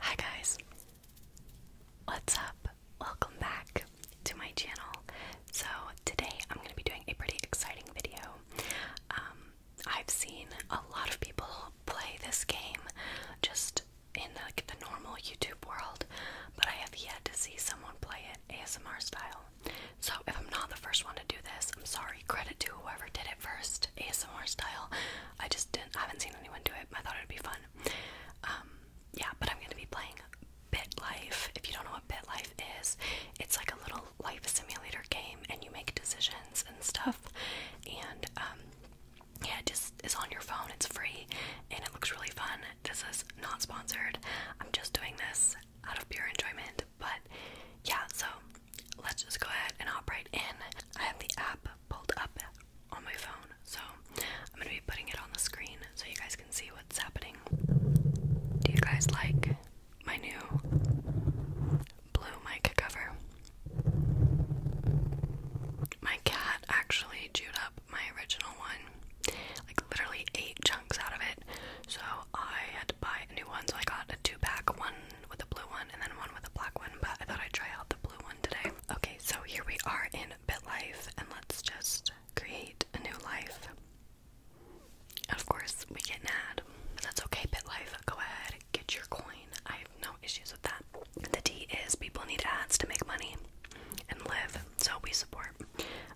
Hi guys. What's up? Welcome back to my channel. So, today I'm going to be doing a pretty exciting video. Um, I've seen a lot of people play this game just in the normal YouTube world, but I have yet to see someone play it ASMR style. So if I'm not the first one to do this, I'm sorry. Credit to whoever did it first, ASMR style. I just didn't, I haven't seen anyone do it. I thought it'd be fun. Um, yeah, but I'm gonna be playing Bit Life. If you don't know what Bit Life is, it's like a little life simulator game, and you make decisions and stuff. And um, yeah, just is on your phone. It's free, and it looks really fun. This is not sponsored. I'm just doing this out of pure enjoyment. But yeah, so let's just go ahead and hop in. I have the app pulled up on my phone, so I'm gonna be putting it on the screen so you guys can see what's happening. Do you guys like my new blue mic cover? My cat actually chewed up my original one like literally eight chunks out of it. So I had to buy a new one. So I got a two pack one with a blue one and then one with a black one. But I thought I'd try out the blue one today. Okay, so here we are in BitLife and let's just create a new life. And of course, we get an ad. That's okay, BitLife. Go ahead, get your coin. I have no issues with that. The D is people need ads to make money and live, so we support.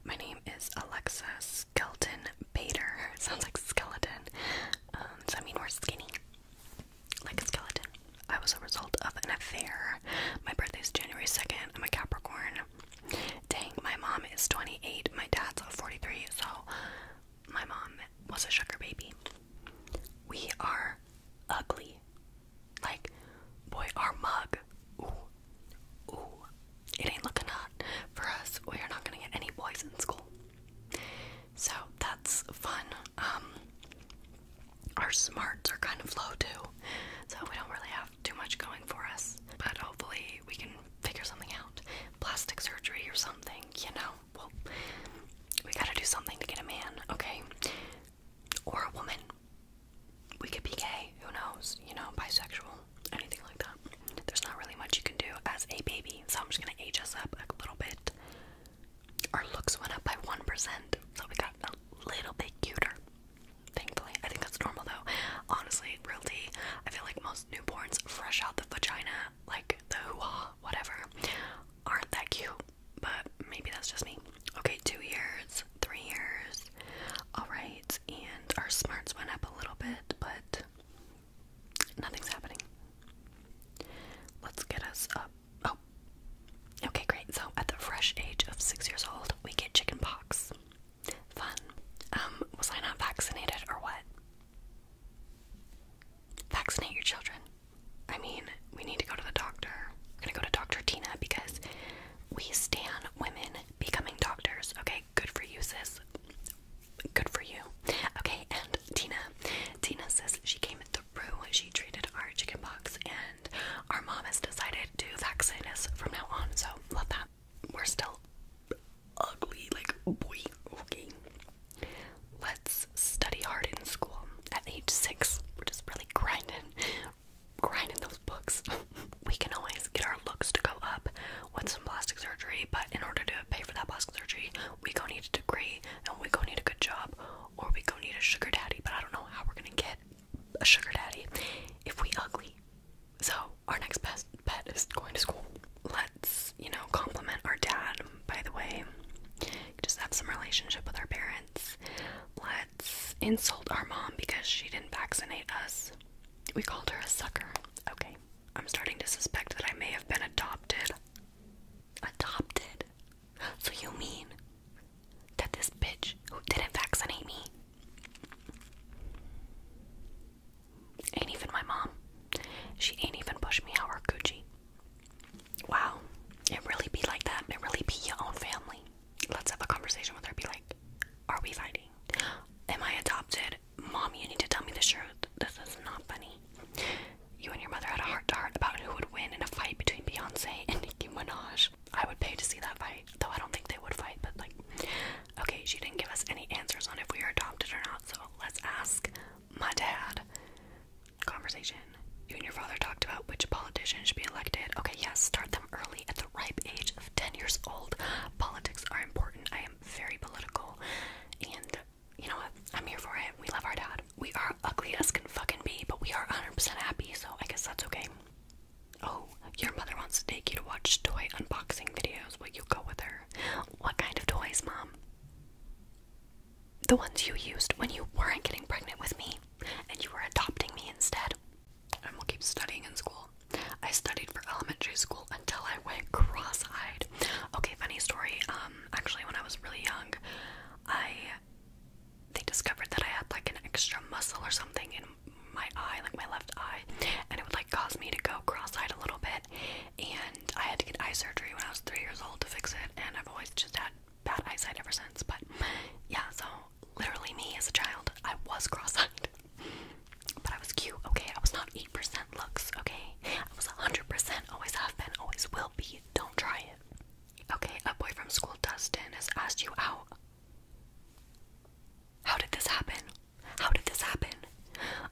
My name is Alexa Skelton Bader. sounds like skeleton. Um, does that mean we're skinny? Like a skeleton. I was a result of an affair. My birthday is January 2nd. I'm a Capricorn. Dang, my mom is 28. My dad's 43. So my mom was a sugar baby. We are ugly. Like, boy, our mug ooh, ooh, it ain't looking hot for us. We are not gonna get any boys in school. So that's fun. Um, our smarts are kind of low too, so we don't really have too much going for us. But hopefully we can figure something out. Plastic surgery or something, you know. Well, we gotta do something to get a man, okay? Or a woman we could be gay, who knows, you know, bisexual, anything like that. There's not really much you can do as a baby, so I'm just gonna age us up a little bit. Our looks went up by 1%, so we got a little bit cuter, thankfully. I think that's normal though. Honestly, realty, I feel like most newborns fresh out the vagina, like the hoo-ha, whatever, aren't that cute, but maybe that's just me. Okay, two years three years. Alright, and our smarts went up a little bit, but nothing's happening. Let's get us up. Oh, okay, great. So, at the fresh age of six years old, we get chicken pox. Fun. Um, was I not vaccinated or what? Vaccinate your children. I mean, we need to go to the doctor. We're gonna go to Dr. Tina because we stan women becoming doctors, okay? good for you, sis. Good for you. Okay, and Tina. Tina says she came the through. She treated our chicken box, and our mom has decided to vaccinate us from now on. So, love that. We're still ugly, like, boy. Okay. Let's study hard in school at age six. We're just really grinding grinding those books. we can always get our looks to go up with some plastic surgery, but in order to pay for that plastic surgery, we gonna need a degree and we gonna need a good job or we gonna need a sugar daddy, but I don't know how we're gonna get a sugar daddy if we ugly. So our next best bet is going to school. Let's, you know, compliment our dad, by the way. Just have some relationship with our parents. Let's insult our mom because she didn't vaccinate us. We called her a sucker. Okay. I'm starting to suspect that I may have been adopted. Adopted? So you mean that this bitch who didn't vaccinate me ain't even my mom. She ain't even pushed me out or coochie. Wow. It really be like that. It really be your own family let's have a conversation with her. Be like, are we fighting? Am I adopted? Mom, you need to tell me the truth. This is not funny. You and your mother had a heart to heart about who would win in a fight between Beyonce and Nicki Minaj. I would pay to see that fight, though I don't think they would fight, but like, okay, she didn't give us any answers on if we were adopted or not, so let's ask my dad. Conversation. You and your father talked about which politician should be elected. Okay, yes, start them early at the ripe age of 10 years old. Politics are important. I am very political. And you know what? I'm here for it. We love our dad. We are ugly as can fucking be, but we are 100% happy, so I guess that's okay. Oh, your mother wants to take you to watch toy unboxing videos. Will you go with her? What kind of toys, Mom? The ones you used when you weren't getting pregnant with me and you were adopting me instead and will keep studying in school. I studied for elementary school until I went cross-eyed. Okay, funny story. Um, actually, when I was really young, I they discovered that I had like an extra muscle or something in my eye, like my left eye, and it would like cause me to go cross-eyed a little bit. And I had to get eye surgery when I was three years old to fix it, and I've always just had bad eyesight ever since. But yeah, so literally me as a child. I was cross-eyed. But I was cute, okay? I was not 8% looks, okay? I was 100%, always have been, always will be. Don't try it. Okay, a boy from school, Dustin, has asked you out. How did this happen? How did this happen?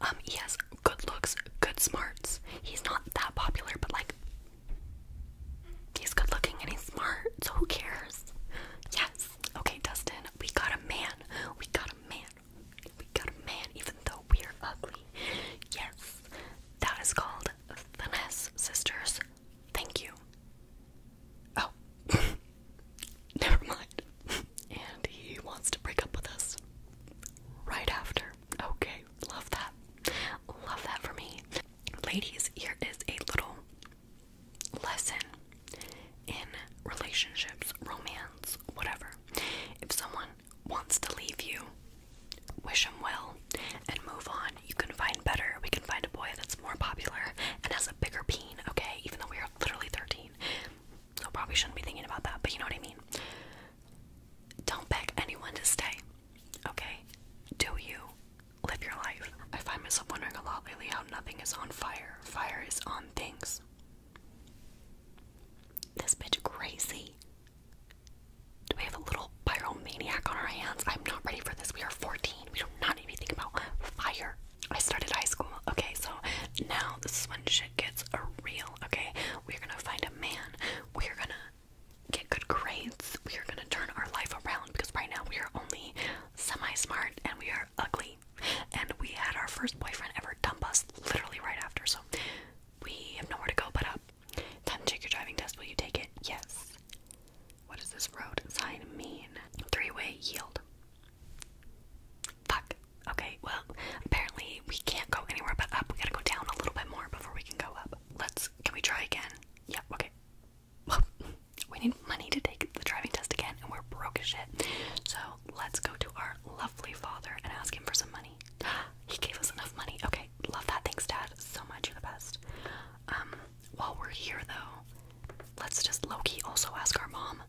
Um, he has good looks, good smarts. He's not that popular, but like, he's good looking and he's smart, so who cares? Yes. Okay, Dustin, we got a man. We got a man. We got a man, even though we're ugly. Yes, that is called finesse, sisters. Thank you. Oh, never mind. and he wants to break up with us right after. Okay, love that. Love that for me. Ladies, here is a little lesson in relationships, romance, whatever. If someone wants to leave you, wish them well and move on. You can find better. We can find a boy that's more popular and has a bigger peen, okay? Even though we are literally 13. So probably shouldn't be thinking about that, but you know what I mean. Don't beg anyone to stay. Okay? Do you? live your life. I find myself wondering a lot lately how nothing is on fire. Fire is on things. This bitch crazy. Do we have a little pyromaniac on our hands? I'm not ready for this. We are 14. We do not need to be thinking about fire. I started high school. Okay, so now this is when shit gets real. Okay, we're gonna find a man. We're gonna get good grades. We are gonna turn our life around because right now we are only semi smart and we are ugly and we had our first boyfriend ever dump us literally right after. So we have nowhere to go but up. Time to take your driving test. Will you take it? Yes. What does this road sign mean? Three-way yield. Fuck. Okay. Well, apparently we can't go anywhere but up. We gotta go down a little bit more before we can go up. Let's. Can we try again? Yeah. Okay. we need money to take the driving test again, and we're broke as shit. So let's go to our lovely father and ask him for some money. he gave us enough money. Okay, love that. Thanks, Dad, so much. You're the best. Um, while we're here, though, let's just Loki also ask our mom.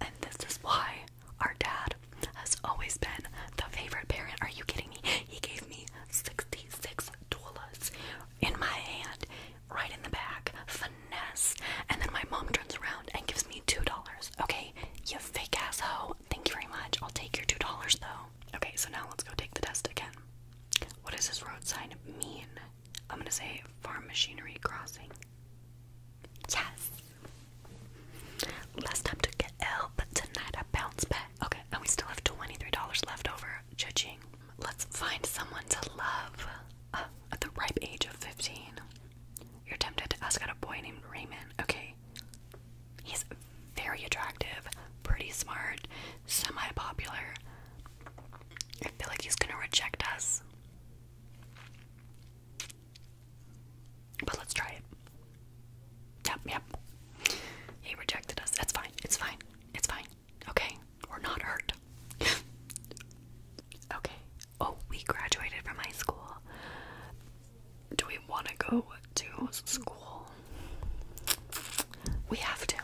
And this is why our dad has always been the favorite parent. Are you kidding me? He gave me $66 in my hand, right in the back, finesse. And then my mom turns around and gives me $2. Okay, you fake asshole. Thank you very much. I'll take your $2 though. Okay, so now let's go take the test again. What does this road sign mean? I'm gonna say farm machinery crossing. Yes! Last time took an L, but tonight I bounced back. Okay, and we still have $23 left over judging. Let's find someone to love. Uh, at the ripe age of 15, you're tempted to ask out a boy named Raymond. Okay, he's very attractive, pretty smart, semi popular. I feel like he's gonna reject us. But let's try it. Yep, yep. He rejected us. That's fine. It's fine. It's fine. Okay. We're not hurt. okay. Oh, we graduated from high school. Do we want to go to school? We have to.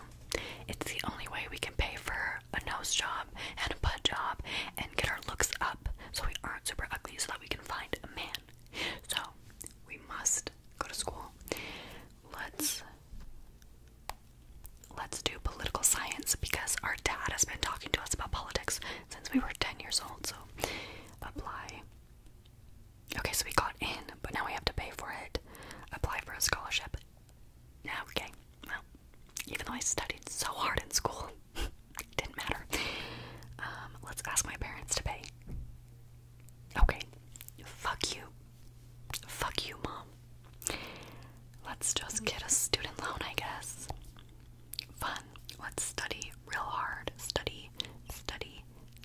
It's the only way we can pay for a nose job and a butt job and get our looks up so we aren't super ugly so that we can find a man. So, we must go to school let's let's do political science because our dad has been talking to us about politics since we were 10 years old so apply okay so we got in but now we have to pay for it apply for a scholarship now okay well even though i studied so hard in school didn't matter um, let's ask my parents to pay Okay. Fuck you. Fuck you, mom. Let's just get a student loan, I guess. Fun. Let's study real hard. Study, study,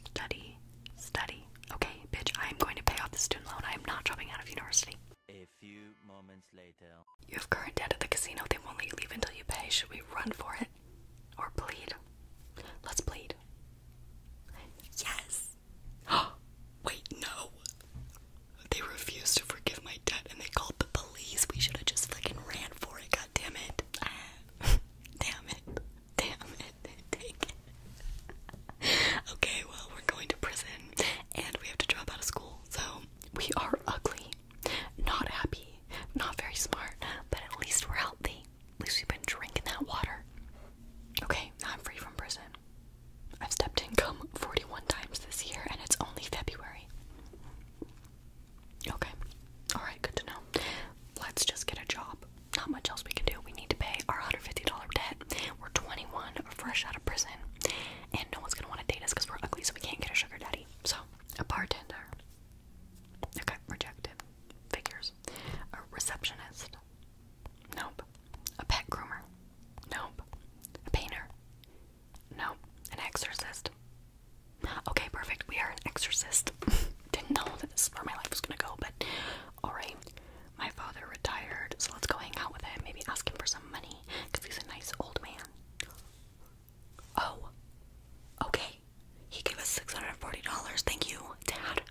study, study. Okay, bitch, I am going to pay off the student loan. I am not dropping out of university. A few moments later. You have current debt at the casino. They won't let you leave until you pay. Should we run for it? Or plead? Let's plead. Yes! Wait, no. They refused to forgive my debt and they called the police. We should have just fucking ran for it. God damn it. damn it. Damn it. Take it. okay, well, we're going to prison and we have to drop out of school. So we are ugly, not happy, not very smart, but at least we're healthy. At least we've been drinking that water. Okay, I'm free from prison. I've stepped in income 41 times this year, and it's only February. Okay, alright, good to know. Let's just get a job. Not much else we can do. We need to pay our $150 debt. We're 21, fresh out of prison, and no one's gonna want to date us because we're ugly, so we can't get a sugar daddy. So, a bartender. Okay, rejected. Figures. A receptionist. Nope. A pet groomer? Nope. A painter? Nope. An exorcist? Okay, perfect. We are an exorcist. Didn't know that this is where my life was gonna go, but alright. My father retired, so let's go hang out with him. Maybe ask him for some money, because he's a nice old man. Oh. Okay. He gave us $640. Thank you, Dad.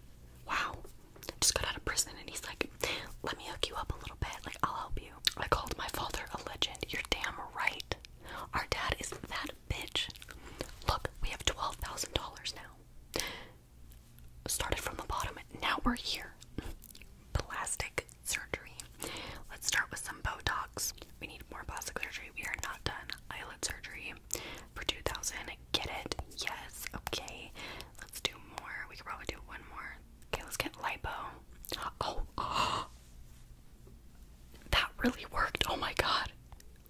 Wow. Just got out of prison and he's like, let me hook you up a little bit. Like, I'll help you. I called my father a legend. You're damn right. Our dad is that bitch. Look, we have $12,000 now. Started from the bottom. Now we're here. Plastic surgery. Let's start with some Botox. We need more plastic surgery. We are not done. Eyelid surgery for 2000. Get it? Yes. Okay. Let's do more. We can probably do one more. Okay, let's get lipo. Oh, That really worked. Oh my god.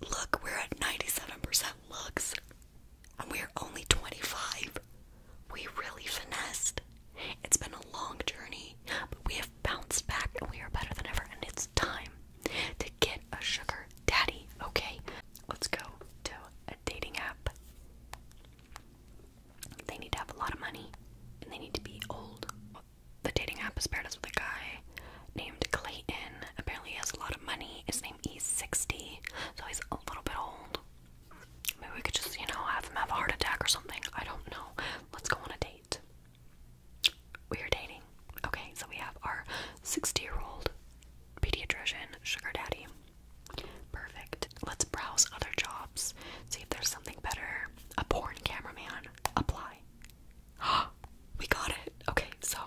Look, we're at 97% looks. And we're only 25. We really finessed. It's been a long journey, but we have bounced back and we are better than ever, and it's time to get a sugar daddy. Okay, let's go to a dating app. They need to have a lot of money and they need to be old. The dating app has paired us with a guy named Clayton. Apparently, he has a lot of money. His name is 60, so he's a little bit old. Maybe we could just, you know, have him have a heart attack or something. I don't know. Let's go on a date. We are dating. Okay, so we have our 60 year old pediatrician, sugar daddy. Perfect. Let's browse other jobs. See if there's something better. A porn cameraman. Apply. we got it. Okay, so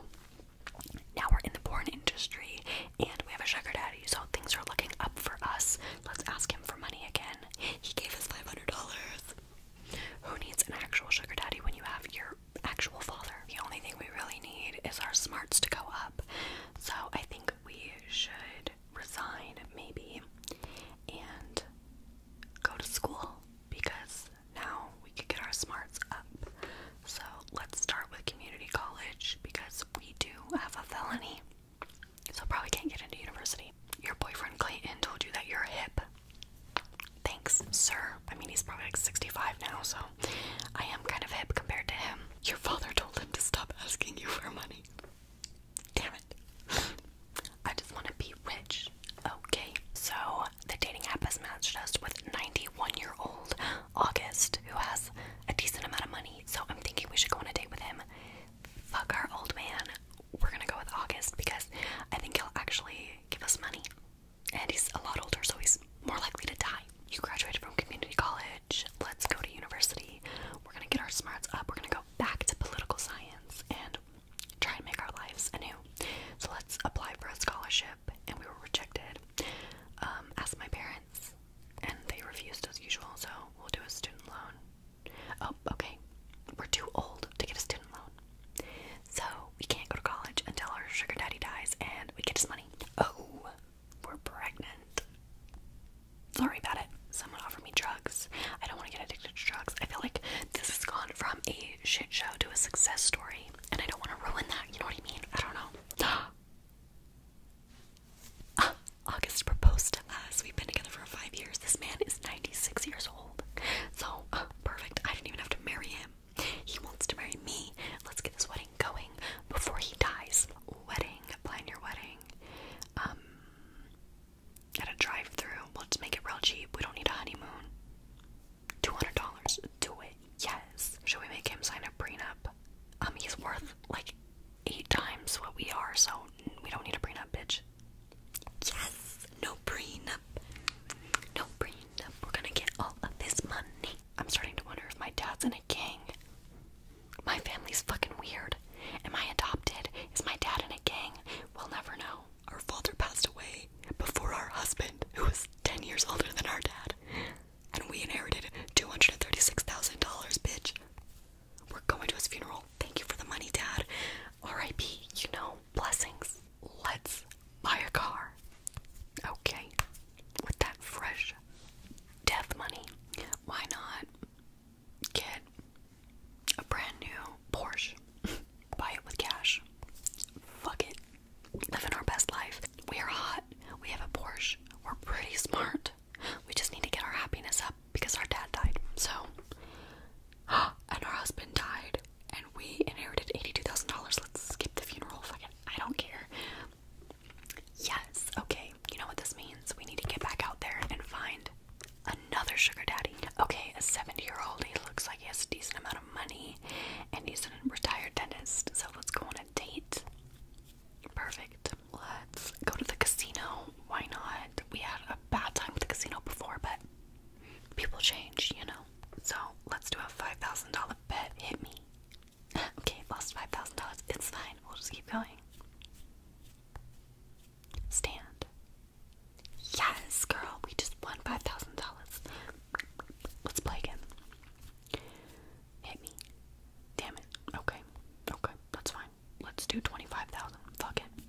now we're in the porn industry and we have a sugar daddy, so things are looking up for us. Let's ask him for money again. He gave us $500. Who needs an actual sugar daddy when you have your actual father. The only thing we really need is our smarts to go up. So I think we should resign, maybe, and go to school because now we could get our smarts up. So let's start with community college because we do have a felony. So probably can't get into university. Your boyfriend Clayton told you that you're hip. Thanks, sir. I mean, he's probably like 65 now, so I am kind of hip compared to him. Your father told him to stop asking you for money. Damn it. I just want to be rich. Okay, so the dating app has matched us with 91 year old August, who has a decent amount of money, so I'm thinking we should go on a date with him. Fuck our old man. We're gonna go with August because I think he'll actually give us money and he's a lot older, so he's more likely to die. You graduated from community college. Let's go to university. We're gonna get our smarts up. We're gonna go back to political science and try and make our lives anew. So let's apply for a scholarship, and we were rejected. Um, asked my parents, and they refused as usual. So we'll do a student loan. Oh, okay. We're too old to get a student loan. So we can't go to college until our sugar daddy dies and we get his money. Oh, we're pregnant. Sorry about it. Someone offered me drugs. I don't want to get addicted to drugs. I feel like this has gone from a shit show to a success story, and I don't want to ruin that. You know what I mean? I don't know. Ah, August proposed to us. We've been together for five years. This man is 96 years old. So, uh, perfect. I didn't even have to marry him. He wants to marry me. Let's get this wedding going before he dies. Wedding. Plan your wedding. Um, at a drive-through. Let's make it real cheap. We don't need a honeymoon. Two hundred dollars. Do it. Yes. Should we make him sign a prenup? Um, he's worth like eight times what we are, so we don't need a prenup, bitch. Yes. No prenup up. do We're gonna get all of this money. I'm starting to wonder if my dad's in a gang. My family's fucking weird. Am I adopted? Is my dad in a gang? We'll never know. Our father passed away before our husband, who was 10 years older than our dad. And we inherited $236,000, bitch. We're going to his funeral. Thank you for the money, Dad. R.I.P., you know, blessings. Let's buy a car. Okay, with that fresh death money, why not get a brand new Porsche? buy it with cash. Fuck it. Living our best life. We are hot. We have a Porsche. We're pretty smart. We just need to get our happiness up because our dad died. So, and our husband died and we inherited $82,000. Let's skip the funeral. Fucking, I don't care. Yes, okay. You know what this means? We need to get back out there and find another sugar daddy. Okay, a 70 year old. He looks like he has a decent amount of money and he's a retired dentist. So let's go on a date. Perfect. Let's go to the casino. Why not? We had a bad time with the casino before, but people change, you know. So let's do a five thousand dollar bet. Hit me. okay, lost five thousand dollars. It's fine. We'll just keep going. Stand. Yes, girl. We just won five thousand dollars. Let's play again. Hit me. Damn it. Okay. Okay. That's fine. Let's do twenty five thousand. Fuck it.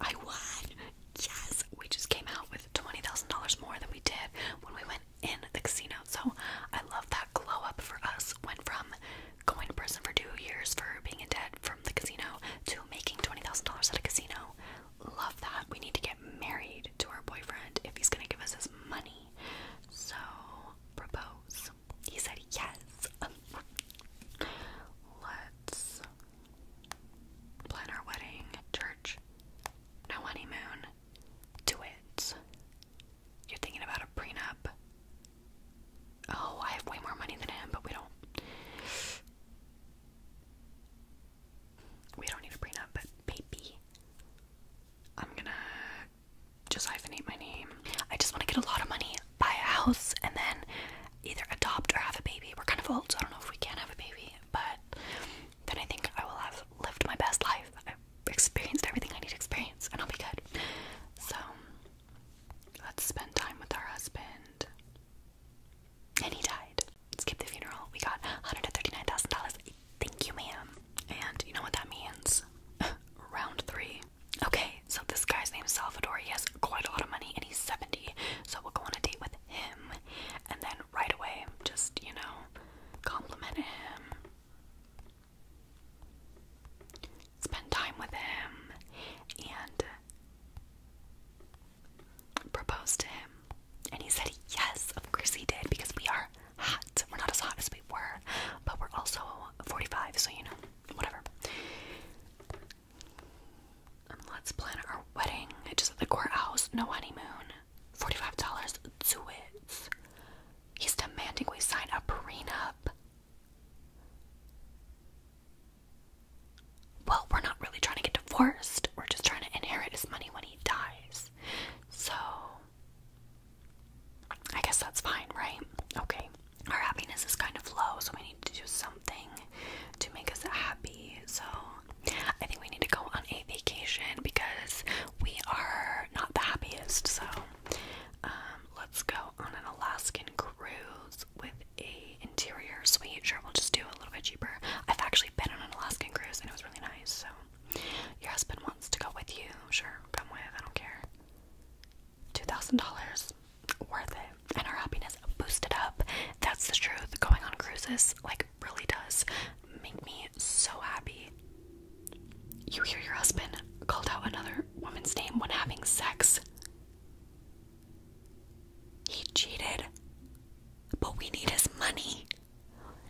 I won! Yes! We just came out with $20,000 more than we did when we went in the casino. So I love that glow up for us. Went from going to prison for two years for being in debt from the casino to making $20,000 at a casino. Love that. We need to get married to our boyfriend if he's gonna give us his money. So, propose. He said yes. Let's Plan our wedding, church, no honeymoon, do it. You're thinking about a prenup. Oh, I have way more money than him, but we don't. We don't need a prenup, but baby. I'm gonna just hyphenate my name. I just want to get a lot of money, buy a house, and then either adopt or have a baby. We're kind of old, so I don't know if we can have a baby but then I think I will have lived my best life. I've experienced everything I need to experience, and I'll be good. So, let's spend time with our husband. And he died. Skip the funeral. We got $139,000. Thank you, man. And you know what that means? Round three. Okay, so this guy's name is Salvador. He has quite a lot of money and he's 70. So we'll go on a date with him and then right away just, you know, compliment him. Spend time with him and propose to him. And he said, Yes, of course he did, because we are hot. We're not as hot as we were, but we're also 45, so you know, whatever. Um, let's plan our wedding. Just at the courthouse, no honeymoon. $45 to it. He's demanding we sign a prenup. Well, we're not really trying to get divorced. We're just trying to inherit his money when he dies. So, I guess that's fine, right? Okay. Our happiness is kind of low, so we need to do something to make us happy. So I think we need to go on a vacation because we are not the happiest. So um, let's go on an Alaskan cruise with a interior suite. Sure, we'll just do a little bit cheaper. I've actually been on an Alaskan cruise and it was really nice. So your husband wants to go with you. Sure, come with. I don't care. Two thousand dollars, worth it and our happiness boosted up. That's the truth. Going on cruises, like, really does make me so happy. You hear your husband called out another woman's name when having sex. He cheated, but we need his money.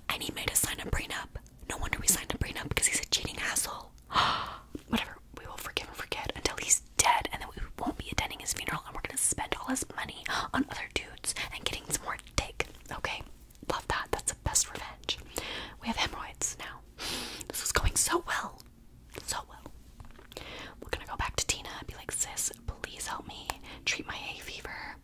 And he made us sign a prenup. No wonder we signed a prenup because he's a cheating asshole. Whatever, we will forgive and forget until he dead and that we won't be attending his funeral and we're gonna spend all his money on other dudes and getting some more dick. Okay? Love that. That's the best revenge. We have hemorrhoids now. This is going so well. So well. We're gonna go back to Tina and be like, sis, please help me treat my hay fever.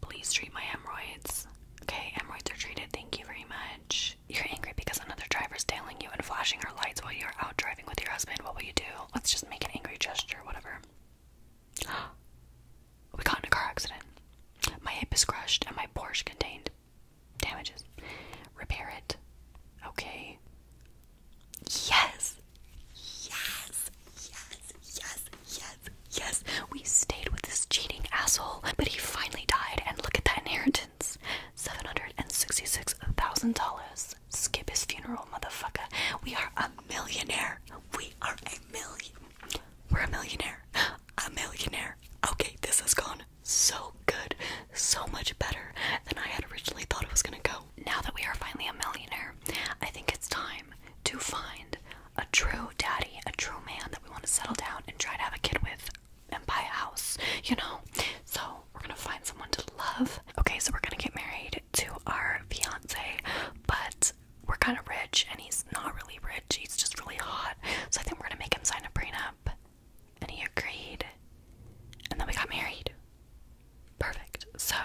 Please treat my hemorrhoids. Okay, hemorrhoids are treated. Thank you very much. You're angry because another driver's tailing you and flashing her lights while you're out driving with your husband. What will you do? Let's just make an angry gesture, whatever. we got in a car accident. My hip is crushed and my Porsche contained damages. Repair it. Okay. Yes! Yes! Yes! Yes! Yes! Yes! We stayed with this cheating asshole, but he finally died, and look at that inheritance. $766,000. Skip his funeral, motherfucker. We are a millionaire. We are a million. We're a millionaire. A millionaire. Okay, this has gone so good. So much better than I had originally thought it was gonna go. Now that we are finally a millionaire, I think it's time to find a true daddy, a true man that we want to settle down and try to have a kid with and buy a house, you know? So we're gonna find someone to love. Okay, so we're gonna get married to our fiance, but we're kind of rich and he's not really rich, he's just really hot. So I think we're gonna make him sign a prenup. And he agreed. And then we got married. Perfect. So,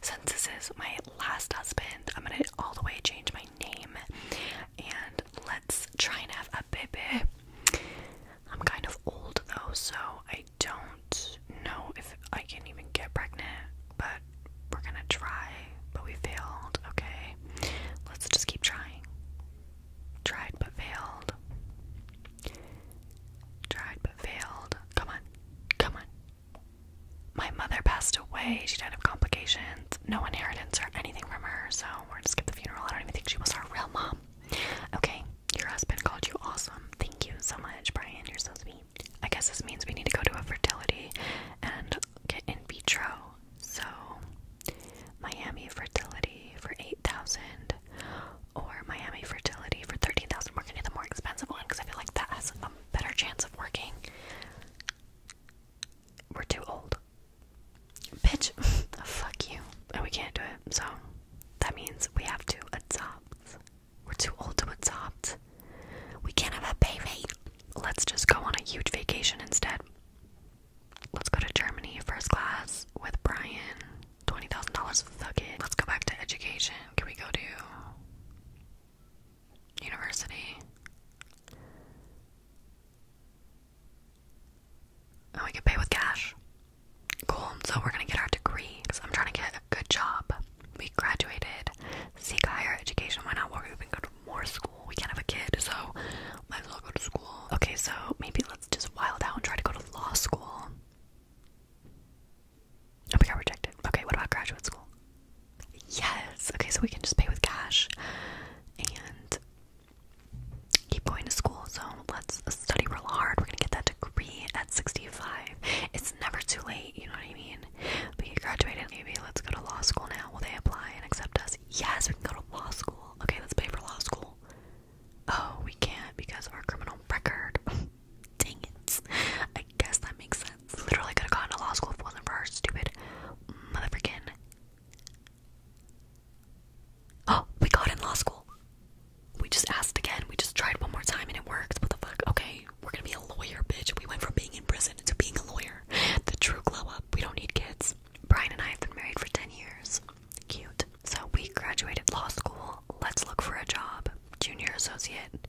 since this is my last husband, I'm gonna all the way change my name. And let's try and have a baby. I'm kind of old though, so I don't know if I can even get pregnant, but we're gonna try. But we failed, okay? Let's just keep trying. Tried but failed. Tried but failed. Come on, come on. My mother passed away. She died of complications. No inheritance or anything from her, so we're gonna skip the funeral. I don't even think she was our real mom. Okay, your husband called you awesome. Thank you so much, Brian. You're so sweet. I guess this means we need to go to a fertility and get in vitro. So, Miami fertility for 8000 or Miami fertility for 13000 We're going to the more expensive one because I feel like that has a better chance of working. We're too old. Bitch, fuck you. And we can't do it. So that means we have to adopt. We're too old to adopt. We can't have a baby. Let's just go on a huge vacation instead. Let's go to Germany first class with Brian. Twenty thousand dollars. Fuck it. Let's go back to education. Can we go to university? And we can pay with cash. Cool. So we're going to get our degree because I'm trying to get a good job. We graduated, seek higher education. Why not? We're even go to more school. We can't have a kid, so might as well go to school. Okay, so maybe let's just wild out and try to go to law school. Oh, we got rejected. Okay, what about graduate school? Yes. Okay, so we can just pay with cash and keep going to school. So let's study real hard. We're gonna get that degree at 65. It's never too late, you know what I mean? But you graduated, maybe let's go to law school now. Will they apply and accept us? Yes, we can go to law school. Okay, let's pay for law school. Oh, we can't because of our criminal record. Dang it. I guess that makes sense. Literally could have gone to law school if it wasn't for our stupid motherfucking Oh, we got in law school. We just asked again. We just tried one more time and it worked. What the fuck? Okay, we're gonna be a lawyer, bitch. We went from being in prison to being a lawyer. The true glow up. We don't need kids. Brian and I have been married for 10 years. Cute. So we graduated law school. Let's look for a job. Junior associate.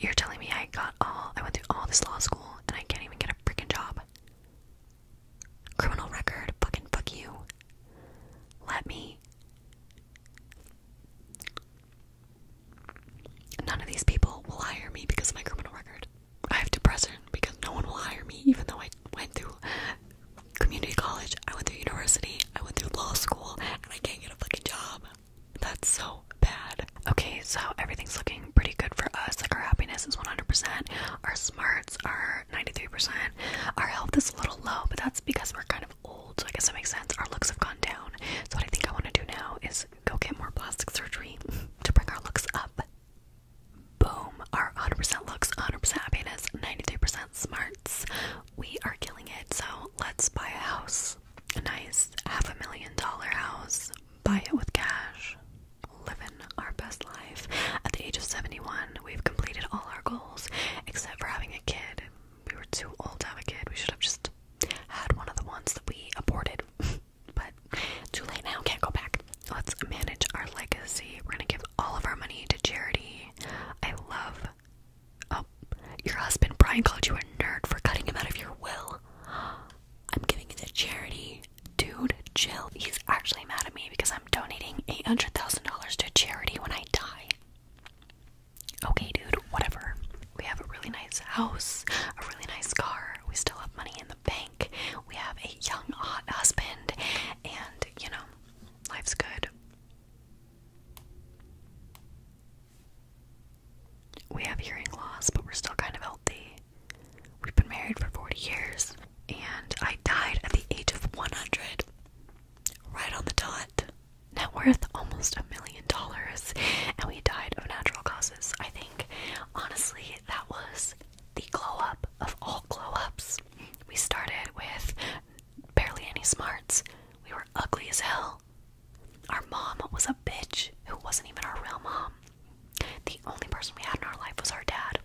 You're telling me I got all, I went through all this law school and I can't even get a freaking job criminal record, fucking fuck you. Let me. None of these people will hire me because of my criminal record. I have depression because no one will hire me, even though I went through community college, I went through university, I went through law school, and I can't get a fucking job. That's so bad. Okay, so everything's looking pretty good for us. Like, our happiness is 100%. Our smart words, our 93%. Our health is a little low, but that's because we're kind of old, so I guess that makes sense. Our looks have gone down. So, what I think I want to do now is go get more plastic surgery to bring our looks up. Boom. Our 100% looks, 100% happiness, 93% smarts. We are killing it. So, let's buy a house. A nice half a million dollar house. Buy it with cash living our best life. At the age of 71, we've completed all our goals except for having a kid. We were too old to have a kid. We should have just had one of the ones that we aborted. but too late now, can't go back. Let's manage our legacy. We're gonna give all of our money to charity. I love. Oh, your husband Brian called you a nerd for cutting him out of your will. I'm giving it to charity. Dude, chill. He's actually mad at me because I'm donating $800,000 to charity when I die. Okay, dude, whatever. We have a really nice house, a really nice car. We still have money in the bank. We have a young, hot husband, and you know, life's good. We have hearing loss, but we're still kind of healthy. We've been married for 40 years, and I died at the age of 100. Right on the dot. Net worth almost a million dollars, and we died of natural causes. I think, honestly, that was the glow up of all glow ups. We started with barely any smarts, we were ugly as hell. Our mom was a bitch who wasn't even our real mom. The only person we had in our life was our dad.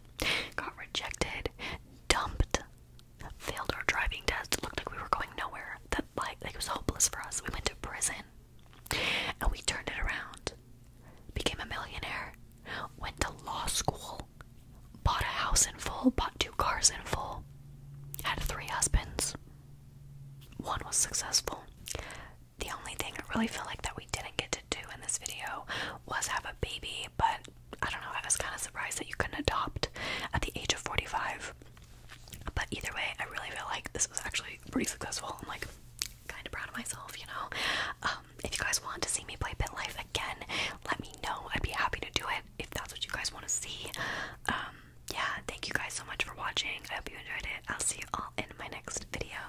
Got rejected, dumped, failed our driving test, looked like we were going nowhere. That like, like it was hopeless for us. We went to prison. And we turned it around. Became a millionaire. Went to law school. Bought a house in full, bought two cars in full. Had three husbands. One was successful the only thing I really feel like that we didn't get to do in this video was have a baby, but I don't know, I was kind of surprised that you couldn't adopt at the age of 45. But either way, I really feel like this was actually pretty successful. I'm like kind of proud of myself, you know. Um, if you guys want to see me play Pin Life again, let me know. I'd be happy to do it if that's what you guys want to see. Um, yeah, thank you guys so much for watching. I hope you enjoyed it. I'll see you all in my next video.